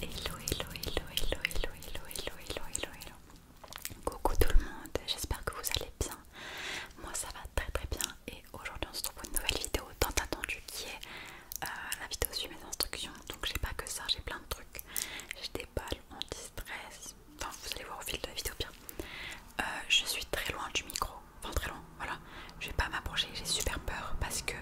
Hello, hello, hello, hello, hello, hello, hello, hello, hello, hello. Coucou tout le monde, j'espère que vous allez bien. Moi ça va très très bien et aujourd'hui on se trouve pour une nouvelle vidéo tant attendue qui est euh, la vidéo sur mes instructions. Donc j'ai pas que ça, j'ai plein de trucs. J'ai des balles anti-stress. Enfin vous allez voir au fil de la vidéo bien. Euh, je suis très loin du micro, enfin très loin, voilà. Je vais pas m'approcher, j'ai super peur parce que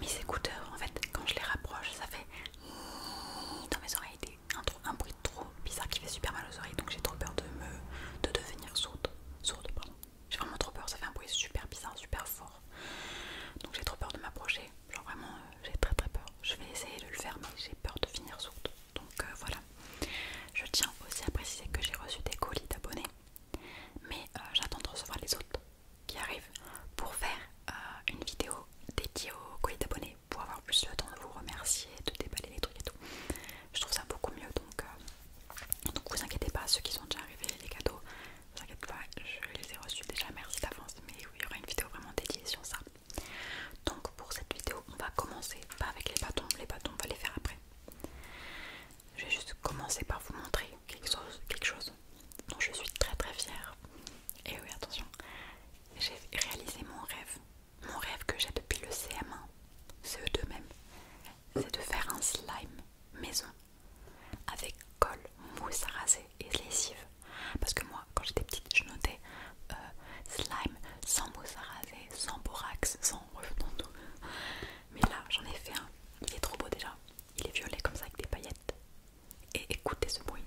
mes écouteurs en fait quand je les rapproche ça fait dans mes oreilles un, bruit trop bizarre qui fait super mal aux oreilles donc j'ai trop peur de me de devenir sourde sourde pardon j'ai vraiment trop peur ça fait un bruit super bizarre super fort donc j'ai trop peur de m'approcher genre vraiment euh, j'ai très très peur je vais essayer de le faire mais j'ai peur de finir sourde donc euh, voilà je tiens aussi à préciser que j'ai reçu des colis d'abonnés mais euh, j'attends de recevoir les autres qui arrive pour faire euh, une vidéo dédiée au colis d'abonnés pour avoir plus le temps de vous remercier, de déballer les trucs et tout. Je trouve ça beaucoup mieux donc, euh, donc vous inquiétez pas, ceux qui sont déjà arrivés, les cadeaux, vous inquiétez pas, je les ai reçus déjà, merci d'avance, mais oui, il y aura une vidéo vraiment dédiée sur ça. Donc pour cette vidéo, on va commencer pas avec les bâtons, les bâtons on va les faire après. Je vais juste commencer par vous montrer quelque chose, quelque chose dont je suis très très fière. Et oui, attention, j'ai réalisé mon rêve. Mon rêve que j'ai depuis le CM1, CE2 même, c'est de faire un slime maison avec colle, mousse à raser et lessive. Parce que moi, quand j'étais petite, je notais euh, slime sans mousse à raser, sans borax, sans... tout. Mais là, j'en ai fait un. Il est trop beau déjà. Il est violet comme ça avec des paillettes. Et écoutez ce bruit.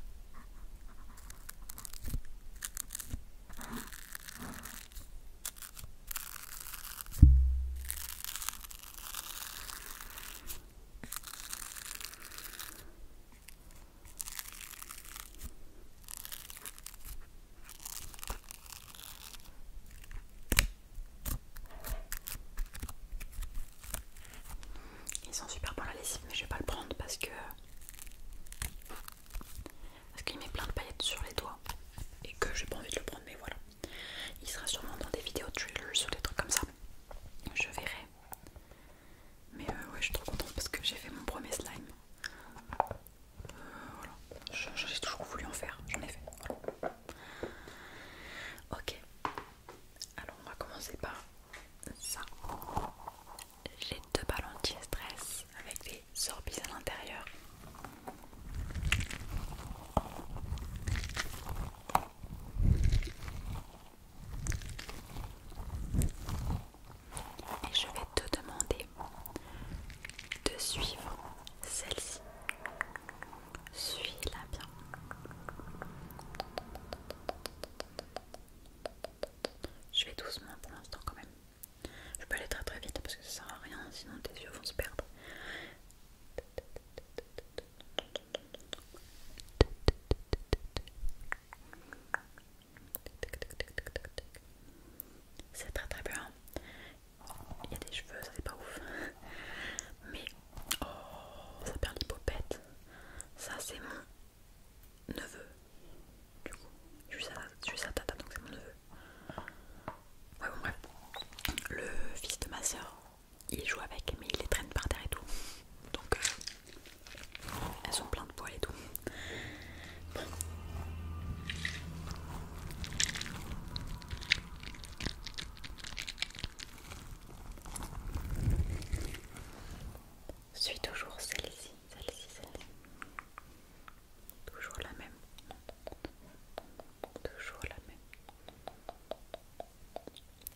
Ils sont super bons la lessive, mais je vais pas le prendre parce que. Parce qu'il met plein de paillettes sur les doigts et que j'ai pas envie de le prendre, mais voilà. Il sera sûrement dans des vidéos trailers ou des trucs comme ça. Je verrai. Mais euh, ouais, je suis trop contente parce que j'ai fait mon premier slime. Euh, voilà. J'ai toujours voulu en faire, j'en ai fait. Ok, alors on va commencer par ça. J'ai deux ballons stress avec des sorbies à l'intérieur. Et je vais te demander de suivre celle-ci. Suis-la bien. Je vais doucement pour l'instant quand même. Je peux aller très très vite parce que ça sert à rien sinon tes yeux vont se perdre. C'est très très bien il y a des cheveux, ça c'est pas ouf. Mais oh, ça perd l'hypopète. Ça c'est mon neveu. Du coup, je suis sa, tata donc c'est mon neveu. Ouais, bon, bref. Le fils de ma soeur, il joue avec, mais il les traîne par terre et tout. Donc, euh, elles sont pleines de poils et tout. Bon. Suis toujours celle-ci, celle-ci, celle-ci. Toujours la même. Toujours la même.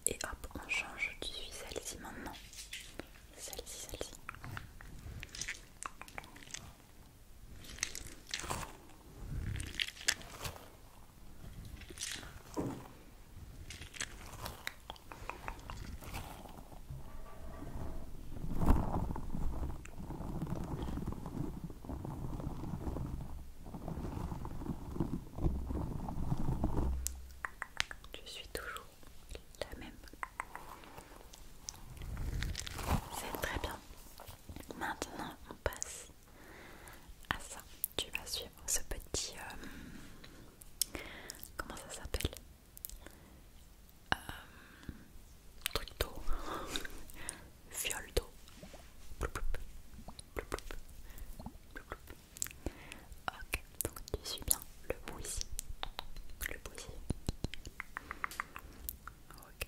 Et hop, on change. Tu suis celle-ci maintenant. Celle-ci, celle-ci. Je suis toujours la même. C'est très bien. Maintenant, on passe ah ça, tu vas suivre ce petit... Euh, comment ça s'appelle euh, Truc d'eau. Fiole d'eau. Ok, donc tu suis bien le bout ici. Le bout ici. Ok.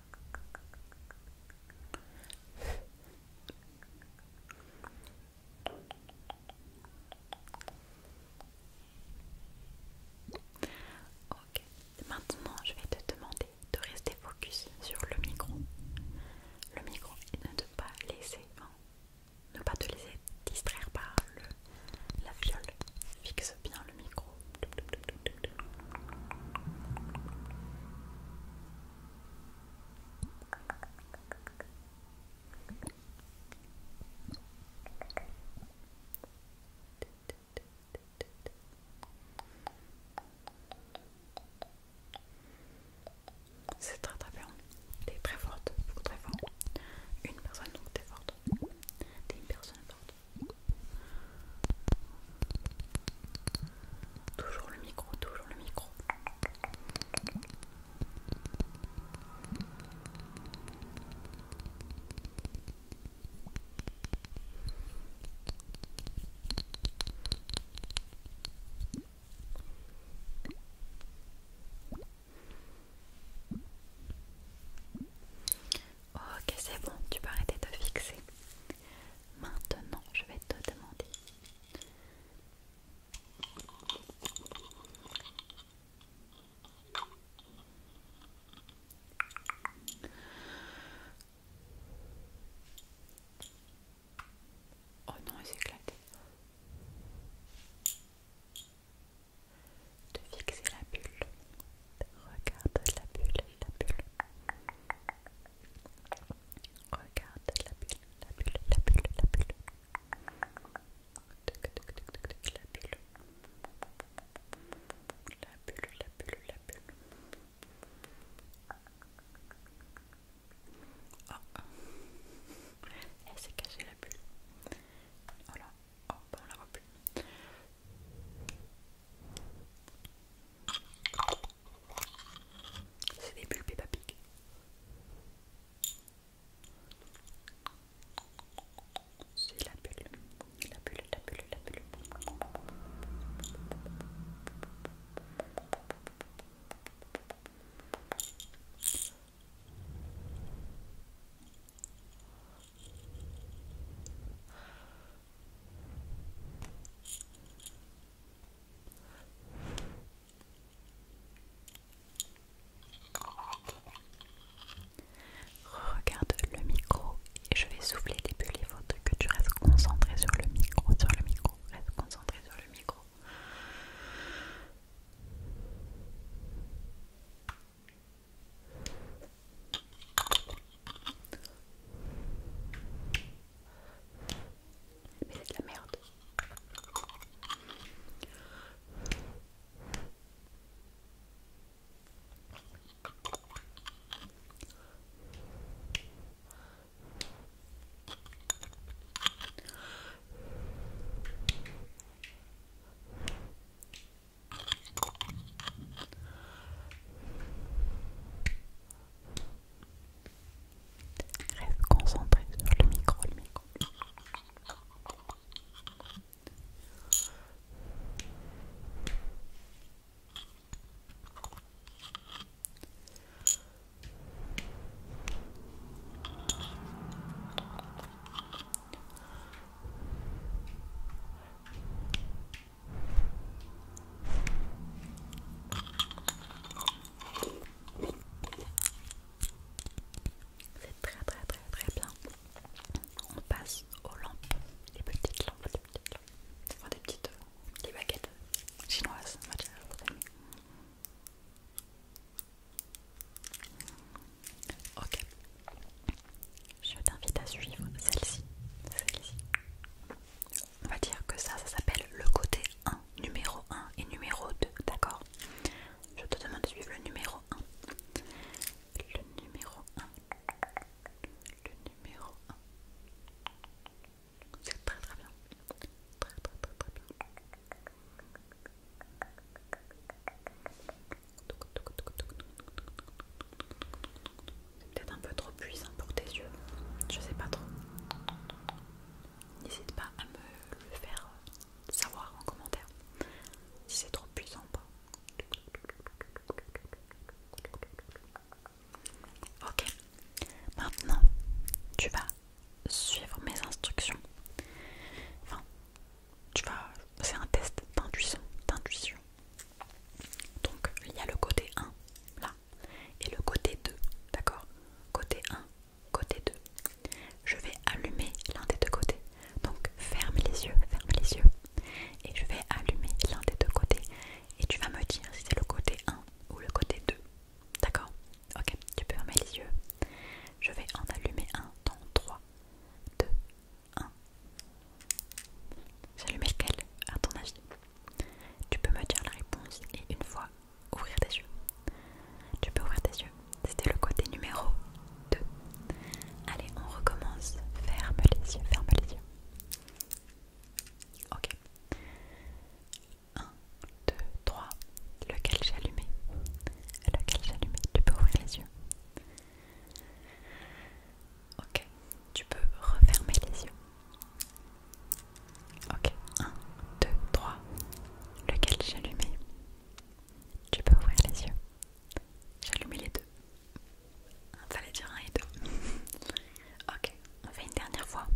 Ok, maintenant je vais te demander de rester focus sur le micro. Le micro et ne te pas laisser, hein, ne pas te laisser distraire par le, la viole fixe bien le micro. C'est très très bien. T'es très forte, très fort. Une personne donc t'es forte. T'es une personne forte. Toujours le micro, toujours le micro. Ok, c'est bon, tu peux arrêter de te fixer. Maintenant, je vais te demander Oh non, elle éclaté de fixer la bulle. Regarde la bulle, la bulle. Regarde la bulle, la bulle, la bulle, la bulle. La bulle. La bulle, la bulle, la bulle. Oh Elle s'est cachée la bulle. Voilà. Oh, on la plus. C'est des bulles Peppa papiques. C'est la bulle, la bulle, la bulle, la bulle. Regarde le micro et je vais souffler des bulles. Il faut que tu restes concentré sur le micro, sur le micro, reste concentré sur le micro. Mais c'est de la merde. Reste concentré sur le micro, le micro. C'est très très très très bien. On passe aux lampes, les petites lampes, les petites lampes. des petites euh, des baguettes chinoises. Ok. Je t'invite à suivre celle-ci. Celle-ci. On va dire que ça, ça s'appelle le côté 1, numéro 1 et numéro 2, d'accord Je te demande de suivre le numéro 1. Le numéro 1. Le numéro 1. C'est très très bien. Très très très très bien. C'est peut-être un peu trop puissant pour tes yeux, je sais pas trop. N'hésite pas à me le faire euh, savoir en commentaire si c'est trop puissant ou pas. Ok, maintenant tu vas suivre mes instructions. Enfin, tu vas, c'est un test d'intuition, d'intuition. Donc il y a le côté 1 là et le côté 2, d'accord Côté 1, côté 2. Je vais allumer l'un des deux côtés. Donc ferme les yeux, ferme les yeux. Et je vais allumer l'un des deux côtés. Et tu vas me dire si c'est le côté 1 ou le côté 2. D'accord Ok, tu peux fermer les yeux. Je vais en allumer un dans 3, 2, 1. J'allumais lequel, à ton avis Tu peux me dire la réponse et une fois ouvrir tes yeux. Tu peux ouvrir tes yeux. C'était le côté numéro 2. Allez, on recommence. Ferme les yeux, ferme les yeux. Ok. 1, 2, 3. Lequel j'allumais Lequel j'allumais Tu peux ouvrir les yeux. Ok, tu peux refermer les yeux. Ok, 1, 2, 3. Lequel j'allumais Tu peux ouvrir les yeux. J'allumais les deux. Fallait dire un et deux. ok, on fait une dernière fois.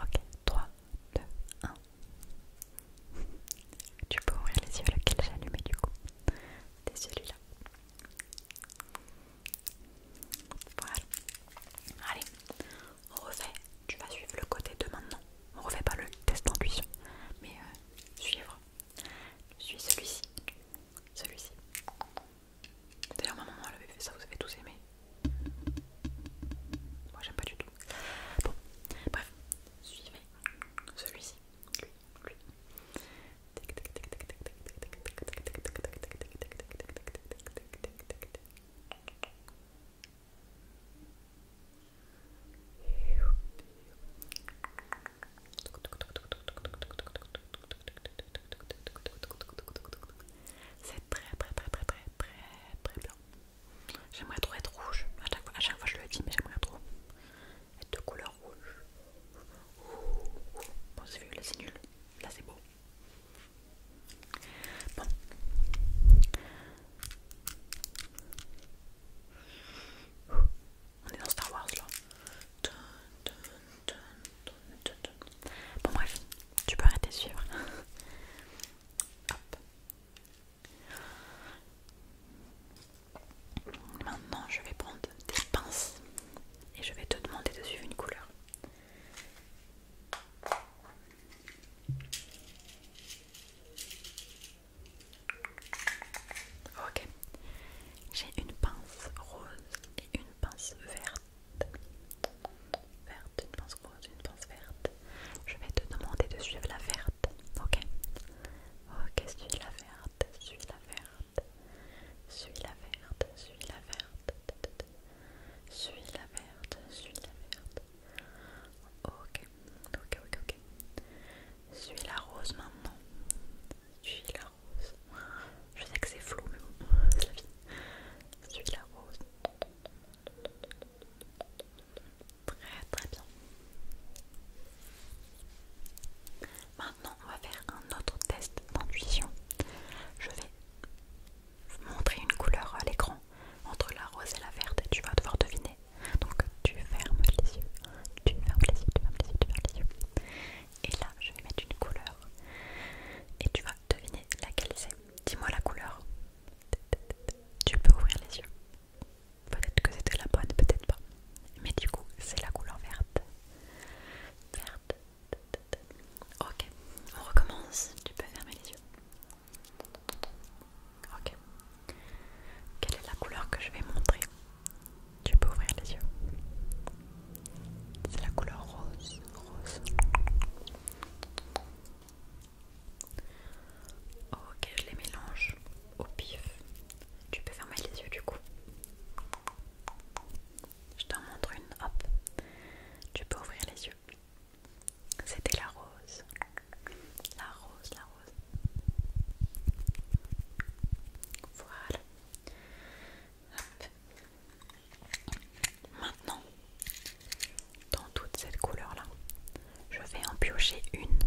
Ok, 3, 2, 1. Tu peux ouvrir les yeux lequel j'ai allumé du coup. C'est celui-là. Voilà. Allez, on refait. Tu vas suivre le côté de maintenant. On refait pas le test d'intuition, mais euh, suivre. Je suis celui-ci. Celui-ci. D'ailleurs, ma maman elle avait fait ça, vous avez tous aimé. Moi j'aime pas du tout. Bon, bref, suivez celui-ci. Lui, C'est très très très très très très très bien. J'aimerais trop être rouge. À chaque, fois, chaque fois je le dis, mais j'aimerais trop être de couleur rouge. Bon, c'est vu, là c'est nul. Là c'est beau. Bon. On est dans Star Wars là. Bon bref, tu peux arrêter de suivre. Hop. Maintenant, je vais prendre des pinces et je vais te demander de suivre une couleur. Ok, j'ai une pince rose et une pince verte. Verte, une pince rose, une pince verte. Je vais te demander de suivre la verte. Ok. Ok, suis-la verte, suis-la verte. Suis-la verte, suis-la verte. Suis-la verte, suis-la verte. Ok, ok, ok, ok. Suis la rose maintenant. Suis la rose. Je sais que c'est flou, mais bon, c'est la vie. Suis la rose. Très très bien. Maintenant, on va faire un autre test d'intuition. Je vais montrer une couleur à l'écran entre la rose et la verte tu vas devoir deviner. Donc tu fermes les yeux, tu fermes les yeux, tu fermes les yeux, tu fermes les yeux. Et là, je vais mettre une couleur et tu vas deviner laquelle c'est. Dis-moi la couleur. Tu peux ouvrir les yeux. Peut-être que c'était la bonne, peut-être pas. Mais du coup, c'est la couleur verte. Verte. Ok, on recommence. Tu peux fermer les yeux. Ok. Quelle est la couleur que je vais montrer Tu peux ouvrir les yeux. C'est la couleur rose. Rose. Ok, je les mélange au pif. Tu peux fermer les yeux du coup. Je t'en montre une, hop. Tu peux ouvrir les yeux. C'était la rose. La rose, la rose. Voilà. Hop. Maintenant, dans toute cette couleur là. Je vais en piocher une.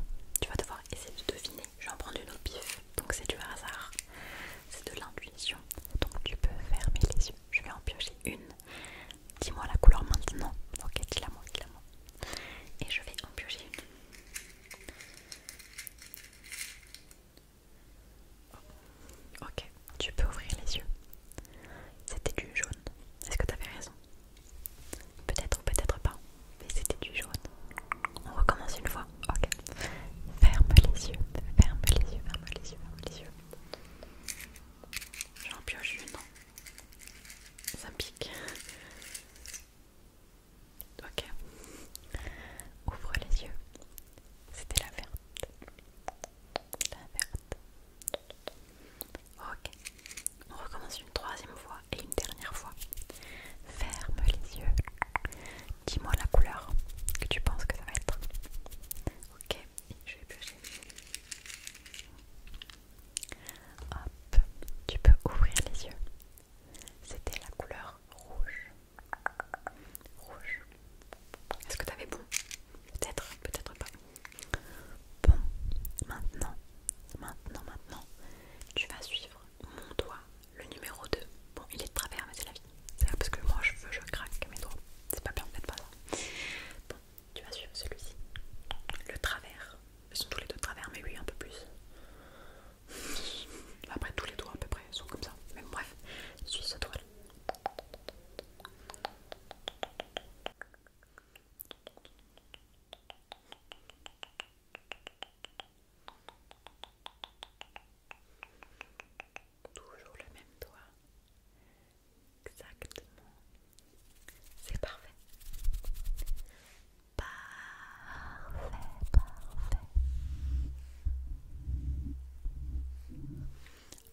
Tu vas devoir essayer de deviner. Je vais en prendre une au pif. Donc c'est du hasard. C'est de l'intuition. Donc tu peux fermer les yeux. Je vais en piocher une. Dis-moi la couleur maintenant. Ok, dis-la moi, dis-la moi. Et je vais en piocher une. Ok, tu peux ouvrir les yeux. C'était du jaune. Est-ce que t'avais raison Peut-être ou peut-être pas. Mais c'était du jaune. On recommence une fois. Ok. Ferme les yeux. Ferme les yeux. Ferme les yeux. Ferme les yeux. J'en pioche une. Ça pique. Ok. Ouvre les yeux. C'était la verte. La verte. Ok, on recommence une troisième fois et une dernière fois. Ferme les yeux. Dis-moi la couleur que tu penses que ça va être. Ok, je vais bouger Hop, tu peux ouvrir les yeux. C'était la couleur rouge. Rouge. Est-ce que t'avais bon Peut-être, peut-être pas. Bon, maintenant, maintenant, maintenant, tu vas suivre mon doigt, le numéro 2. Bon, il est de travers, mais c'est la vie. C'est parce que moi, je veux, je craque mes doigts. C'est pas bien, fait pas ça. Bon, tu vas suivre celui-ci. Le travers. Ils sont tous les deux de travers, mais lui, un peu plus. Après, tous les doigts, à peu près, sont comme ça. Mais bref, suis ce doigt-là. Toujours le même doigt. Exactement. C'est parfait. Parfait, parfait.